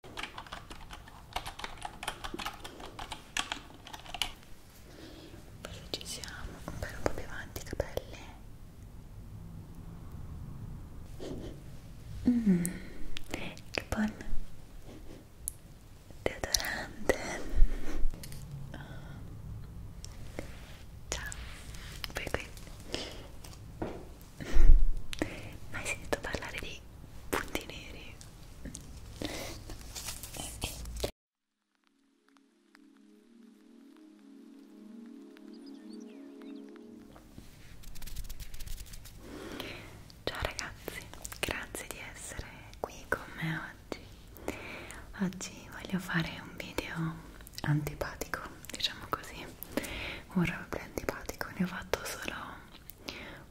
Poi ci siamo, per un po' più avanti i capelli. Mm, che buon deodorante. Ciao, poi qui mai sentito parlare di punti neri? Okay. Ciao ragazzi, grazie di essere qui con me oggi. Oggi voglio fare un video antipatico, diciamo così, un robe antipatico. Ne ho fatto solo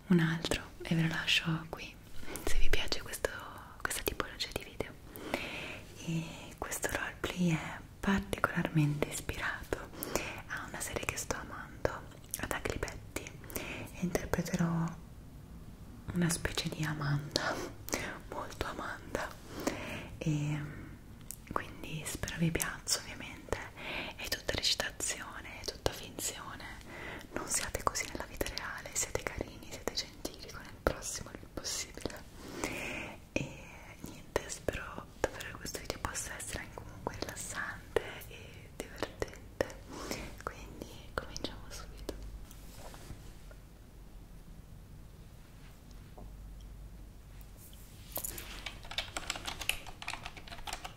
un altro e ve lo lascio qui se vi piace questo, questa tipologia di video e questo roleplay è particolarmente ispirato a una serie che sto amando ad Agripetti e interpreterò una specie di Amanda molto Amanda e quindi spero vi piaccia ovviamente è tutta recitazione, è tutta finzione. Non siate così nella vita reale, siete carini, siete gentili con il prossimo il più possibile. E niente, spero davvero che questo video possa essere anche comunque rilassante e divertente. Quindi cominciamo subito.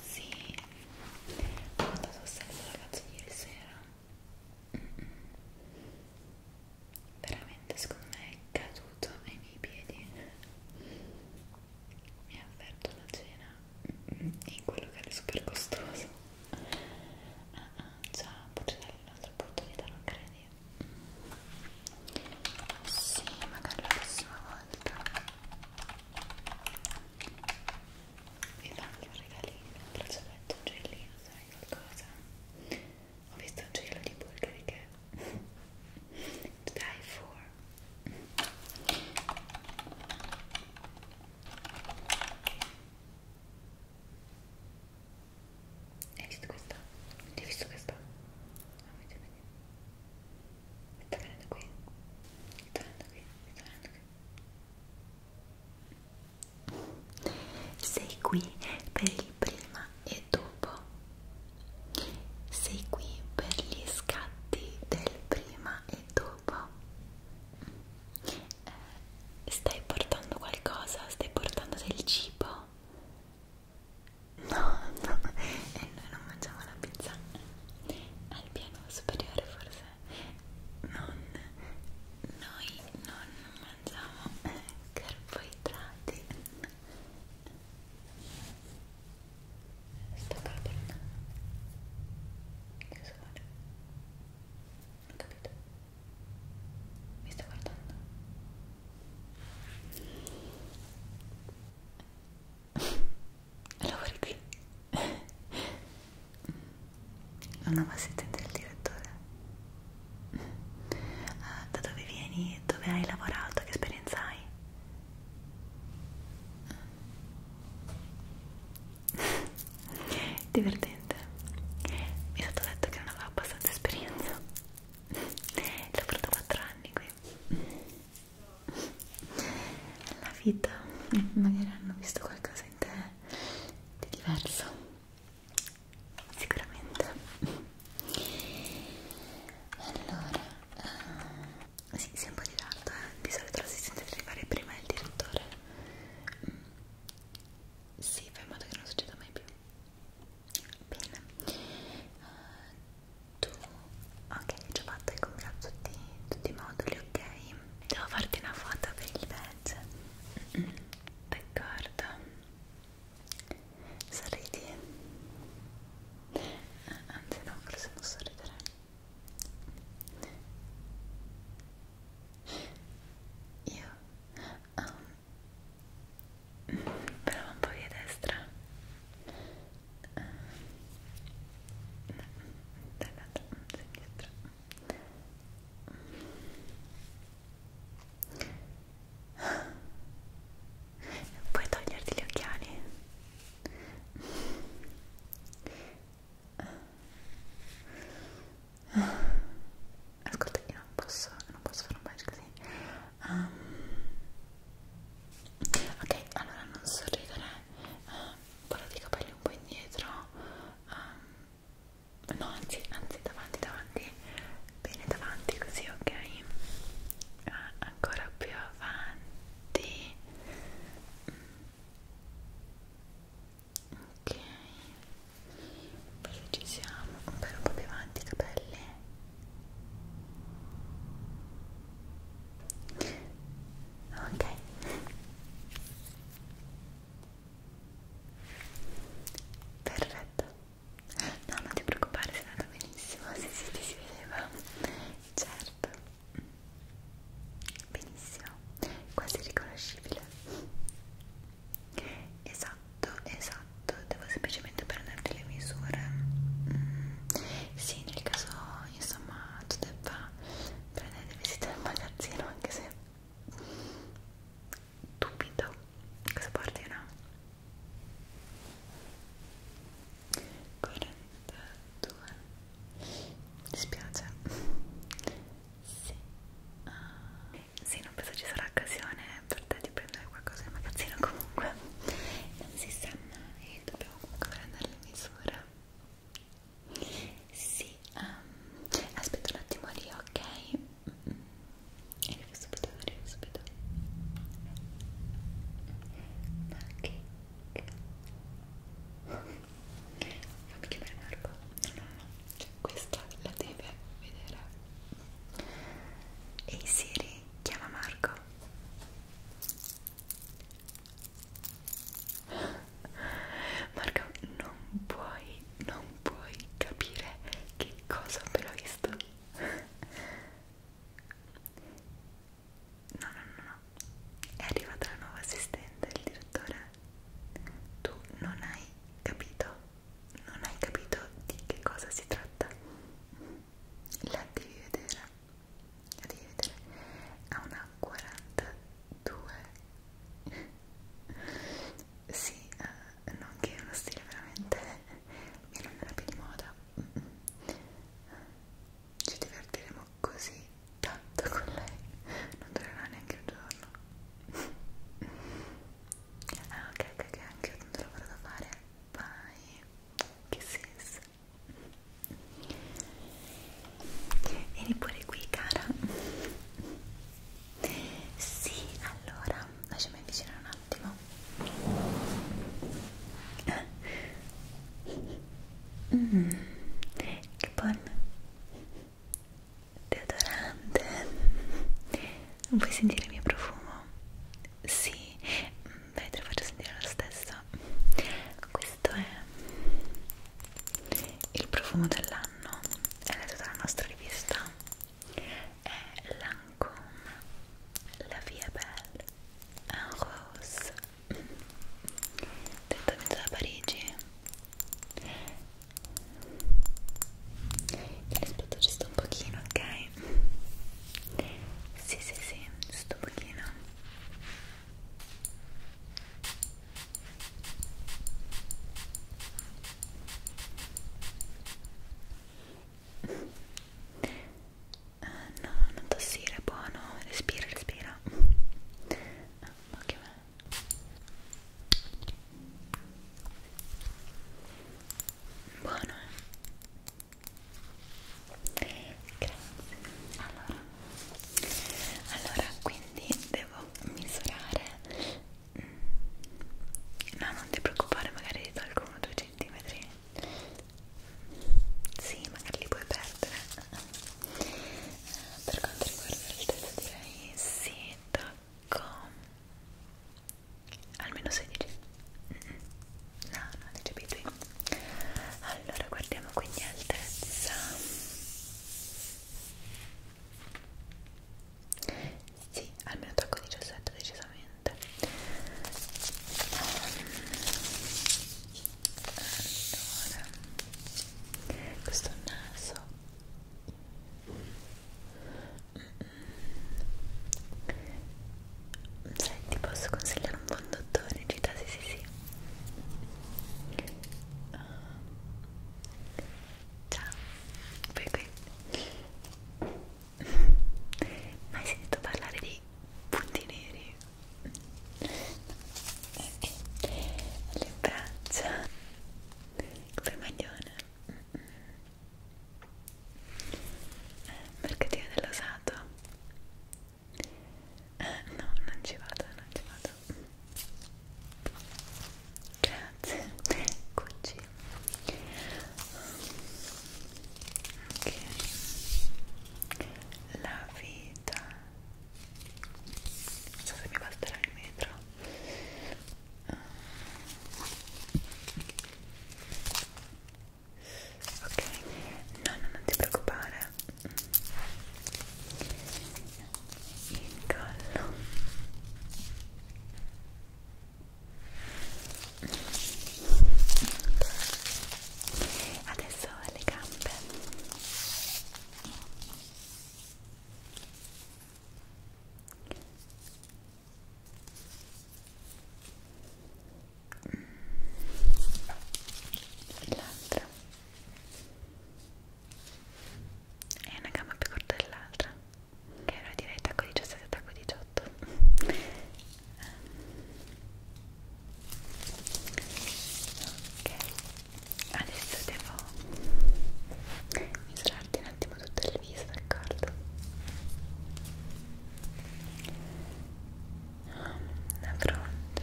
Sì, ho andato a ragazzo ieri sera veramente secondo me è caduto ai miei piedi mi ha offerto una cena in quello che era super costoso ah ah già potrei dare un'altra opportunità non credi? sì magari la prossima volta vi fanno un regalino, un braccialetto, un gellino, sai qualcosa? Ho visto un gelo di burger che to die for hai visto questa? Ti hai visto questa? Ah, mi sta venendo qui mi sta venendo qui, mi sta venendo qui sei qui per il prima e dopo. Sei qui per gli scatti del prima e dopo. Eh, stai portando qualcosa? Stai portando del cibo? No, no, e eh, noi non mangiamo la pizza. Al piano superiore forse non, noi non mangiamo eh, carboidrati sto carburando che cosa vuole? non ho capito mi sta guardando lavori qui una assistente del direttore ah, da dove vieni? dove hai lavorato? che esperienza hai? divertente mi è stato detto che non avevo abbastanza esperienza lavorato 4 anni qui la vita magari hanno visto qualcosa in te di diverso sicuramente allora uh, sì, si è un po' di tardo eh. di solito l'assistente deve arrivare prima il direttore mm. si sì, fai in modo che non succeda mai più bene uh, tu ok ho già fatto il contatto di tutti i moduli ok devo farti una foto per il badge Peccarda Sorridi eh, Anzi no, forse non sorridere Io um, Però un po' via destra uh, ah, no, dall'altra sinistra Puoi toglierti gli occhiali? Ascolta, io non posso, non posso fare un bacio così. Um, ok, allora non sorridere, uh, portati i capelli un po' indietro. Um, no anzi anzi davanti davanti bene davanti così ok ah, ancora più avanti mm. ok forse ci siamo ancora un po' più avanti i capelli ok Perfetto. No, non ti preoccupare, sei andata benissimo. Sì, sì, ti si vedeva. Certo. Benissimo. Quasi riconoscibile. Esatto, esatto. Devo semplicemente prenderti le misure. Mm. Sì, nel caso, insomma, tu debba prendere visita al magazzino, anche se dubito cosa partirà 42 mi dispiace sì. Uh, sì, non penso ci sarà occasione per te di prendere qualcosa in magazzino comunque non si sa mai dobbiamo comunque prendere le misure sì, um, ehm, aspetta un attimo lì, ok? Arrivo subito, arrivo subito. Ma che... Fammi chiamare Marco. No, no, no. Cioè, questa la deve vedere. Ehi hey Siri, chiama Marco. Marco non puoi, non puoi capire che cosa ho appena visto no no no no è arrivata la nuova assistente del direttore tu non hai capito non hai capito di che cosa si tratta la devi vedere la devi vedere ha una 42 sì, eh, non che è uno stile veramente mio non era più di moda ci divertiremo così tanto con lei non durerà neanche un giorno ah ok ok ok anche io tanto lavoro da fare vai che senso Vieni pure qui, cara. Sì, allora, lasciami avvicinare un attimo. Mm, che buon deodorante. Non puoi sentire il mio profumo? Sì, beh, te lo faccio sentire lo stesso. Questo è il profumo dell'anno anno è letto dalla nostra rivista è Lancôme La Vie Belle en Rose direttamente da Parigi aspetta giusto un pochino ok? sì sì sì giusto un pochino Uh, no, non tossire, buono, respira, respira. Ah, ma che Buono. Eh. Grazie. Allora, allora quindi devo misurare No, non ti preoccupare, magari ti tolgo uno o due centimetri. Sì, magari li puoi perdere. Per quanto riguarda l'altezza direi sì, tocco almeno 16. Mm -mm. No, no, ti capito. Allora, guardiamo quindi altezza. Sì, almeno tocco 17 decisamente. Allora, questo naso. Sai, ti posso consigliare un fondottone, Gita? Sì, sì, sì. Uh, Ciao, poi qui. Mai sentito parlare di punti neri? Ok, le braccia, come maglione. Eh, mercatino dell'osato? Eh, no, non ci vado, non ci vado tanto grazie eccoci ok la vita non so se mi basterà il metro ok no, no non ti preoccupare il collo adesso le gambe l'altra è una gamba più corta dell'altra che era direi tacco 17 tacco 18 ok adesso devo misurarti un attimo tutto il viso d'accordo la fronte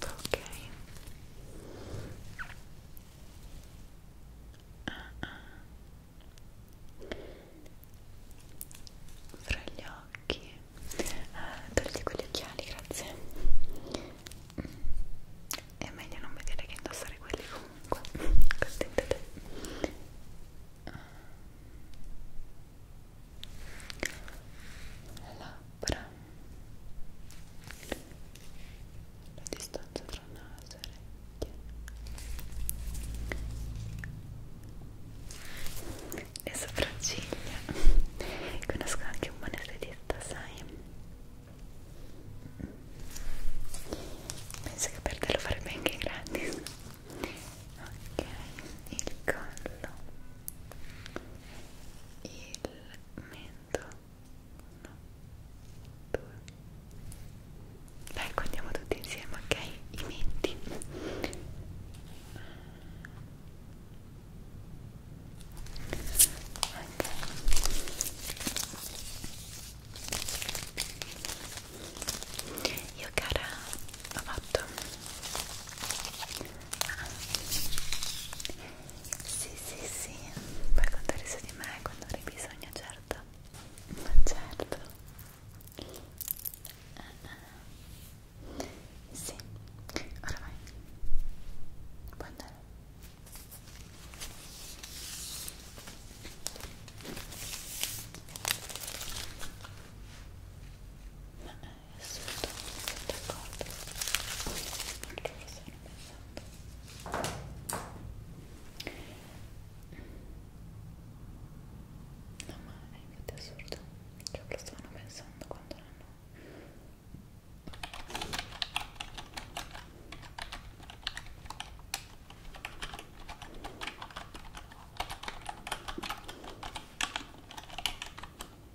ok ah, ah. fra gli occhi eh, togli quegli occhiali grazie mm. è meglio non vedere che indossare quelli comunque contenta te labbra la distanza tra naso e orecchie le sopracciglia conosco anche un manesthetista sai penso che per te lo farebbe anche gratis ok il collo il mento uno, due dai contiamo tutti insieme ok? i menti okay. io cara ho fatto ah. Sì, sì, sì, puoi contare su di me quando avrai bisogno, certo. Ma certo. Ah, ah. Sì, ora vai. Puoi andare. Ah, ah assolutamente d'accordo perché forse hanno pensato no ma è infatti assurdo cioè lo stavano pensando quando l'hanno ok